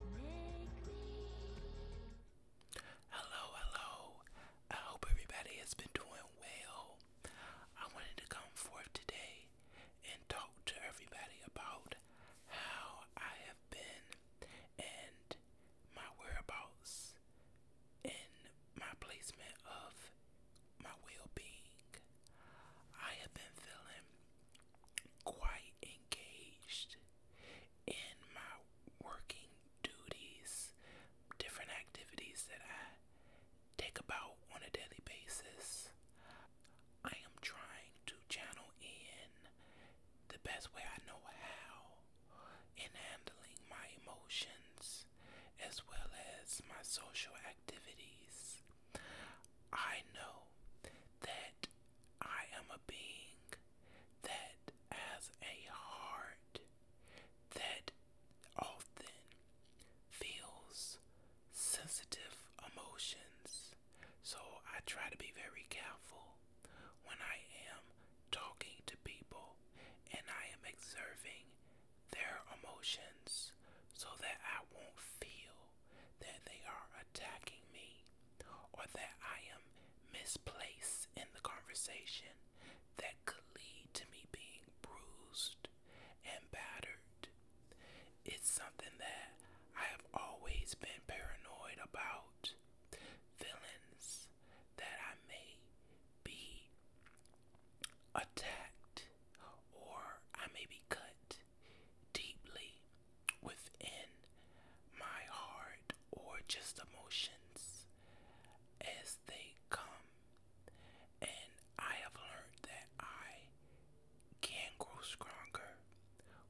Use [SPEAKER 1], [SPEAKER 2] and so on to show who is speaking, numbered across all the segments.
[SPEAKER 1] Hello, hello. I hope everybody has been doing well. I wanted to come forth today and talk to everybody about how I have been and my whereabouts and my placement of my well being. I have been feeling quite engaged in my working duties, different activities that I take about on a daily basis. I am trying to channel in the best way I know how in handling my emotions as well as my social activities. I know that I am a being that has a heart that often feels sensitive emotions. So I try to be very careful when I am talking to people and I am observing their emotions so that I won't feel that they are attacking me or that I am misplaced in the conversation that could lead to me being bruised and battered. It's something that I have always been paranoid about. villains that I may be attacked or I may be cut deeply within my heart or just emotions as they come. And I have learned that I can grow stronger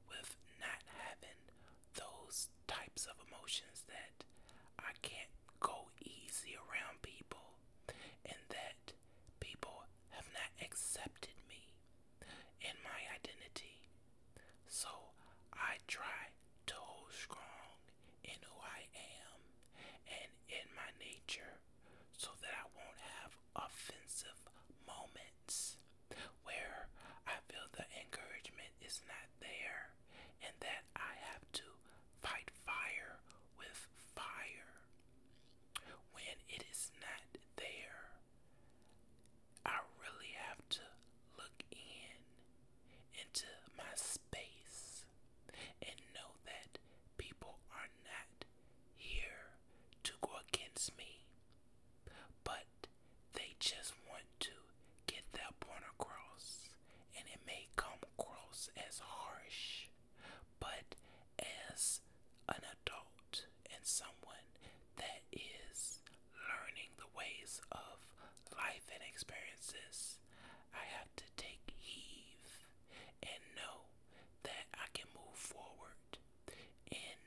[SPEAKER 1] with not having those types of emotions that I can't go easy around people and that people have not accepted me and my identity. So I try to hold strong in who I am and in my nature so that I won't have offensive moments where I feel the encouragement is not there and that I have to fight fire with fire when it is not there. I really have to look in into my space and know that people are not here to go against me, but they just want to get that point across, and it may come across as harsh but as an adult and someone that is learning the ways of life and experiences, I have to take heed and know that I can move forward in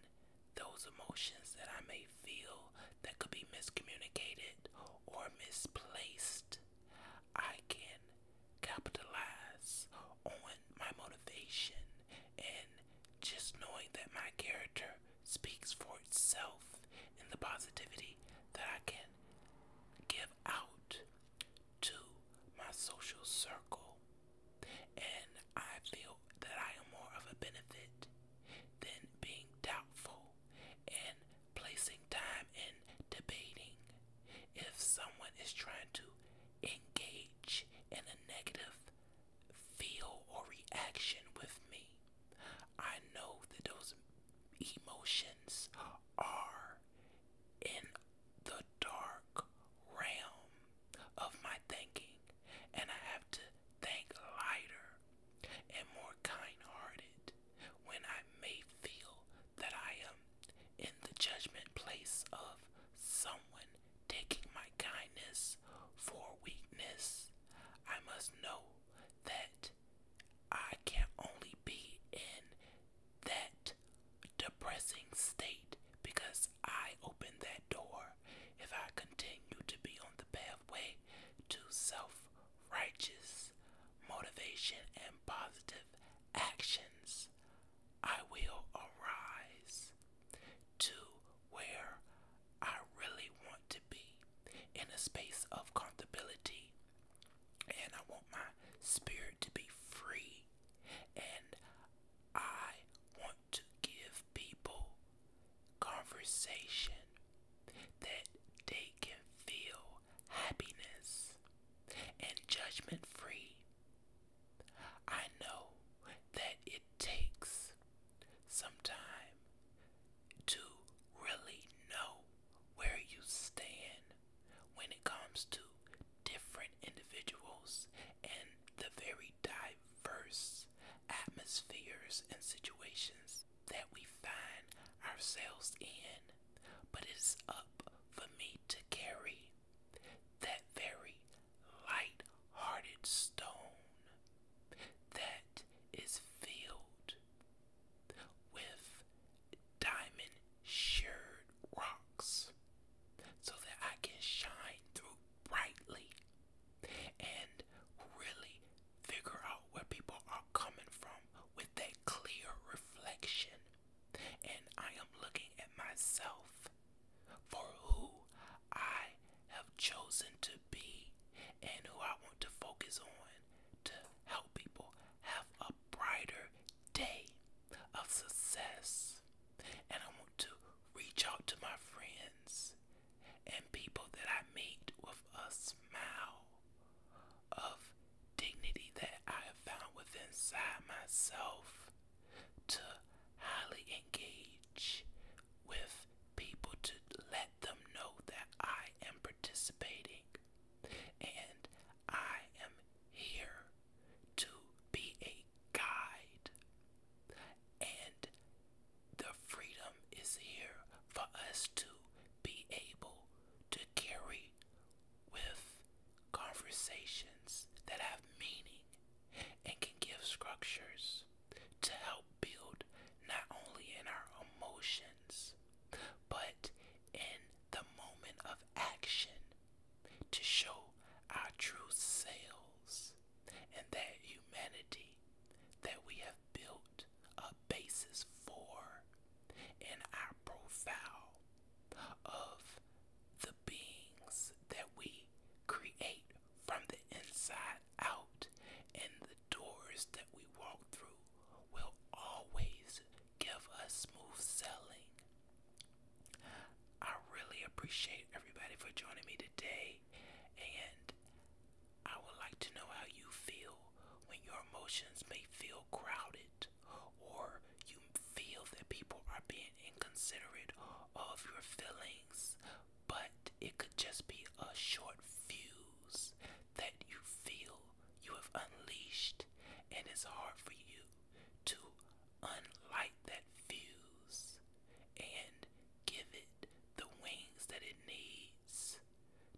[SPEAKER 1] those emotions that I may feel that could be miscommunicated or misplaced. I can capitalize on my motivation and just knowing that my character speaks for itself and the positivity that I can give out to my social circle. And I feel that I am more of a benefit than being doubtful and placing time in debating if someone is trying to engage in a negative feel or reaction with me. I know that those emotions are in the dark realm of my thinking, and I have to think lighter and more kind hearted when I may feel that I am in the judgment place of someone taking my kindness for weakness. I must know that I can only be in that depressing state because I opened that door if I continue to be on the pathway to self righteous motivation and positive actions. I will arise to where I really want to be in a space of comfortability. And I want my spirit to be free. And I want to give people conversation that they can feel happiness and judgment free I know that it takes some time to really know where you stand when it comes to different individuals and the very diverse atmospheres and situations that we find ourselves in. But it's up for me to carry that very light hearted stone that is filled with diamond sheared rocks so that I can shine through brightly and really figure out where people are coming from with that clear reflection and I am looking at myself for who I have chosen to be and who I want to focus on to help people have a brighter day of success. And I want to reach out to my friends and people that I meet with a smile of dignity that I have found within inside myself to highly engage with people to let them know that I am participating and I am here to be a guide and the freedom is here for us to be able to carry with conversations that have meaning and can give structures to help build not only in our emotions but in the moment of action to show our true selves and that humanity that we have built a basis for in our profile of the beings that we create from the inside out, and the doors that we walk through will always give us smooth selling. I really appreciate everybody for joining me today, and I would like to know how you feel when your emotions may feel crowded it or you feel that people are being inconsiderate of your feelings, but it could just be a short fuse that you feel you have unleashed, and it's hard for you to unlight that fuse and give it the wings that it needs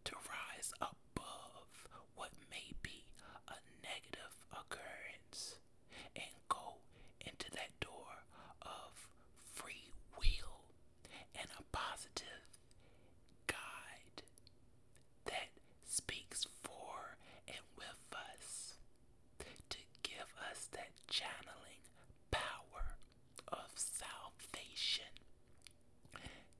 [SPEAKER 1] to rise above what may be a negative occurrence and go into that door of free will and a positive guide that speaks for and with us to give us that channeling power of salvation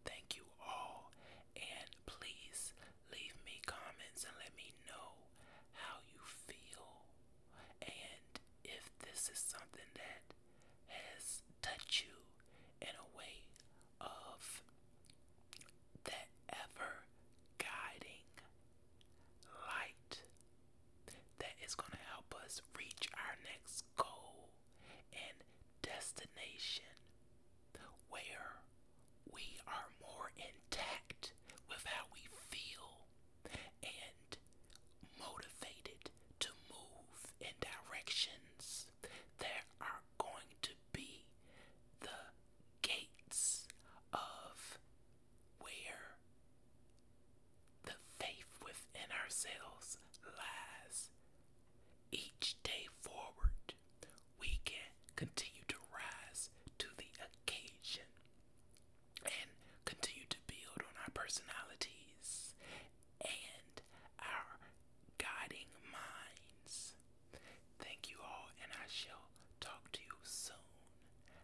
[SPEAKER 1] Thank you all, and please leave me comments and let me know how you feel and if this is something that has touched you in a way of that ever guiding light that is going to help us reach our next goal and destination where we are more intact with how we feel and motivated to move in directions that are going to be the gates of where the faith within ourselves lies each day forward, we can continue to rise to the occasion and continue to build on our personalities and our guiding minds. Thank you all, and I shall talk to you soon.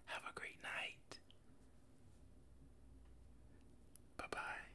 [SPEAKER 1] Have a great night. Bye bye.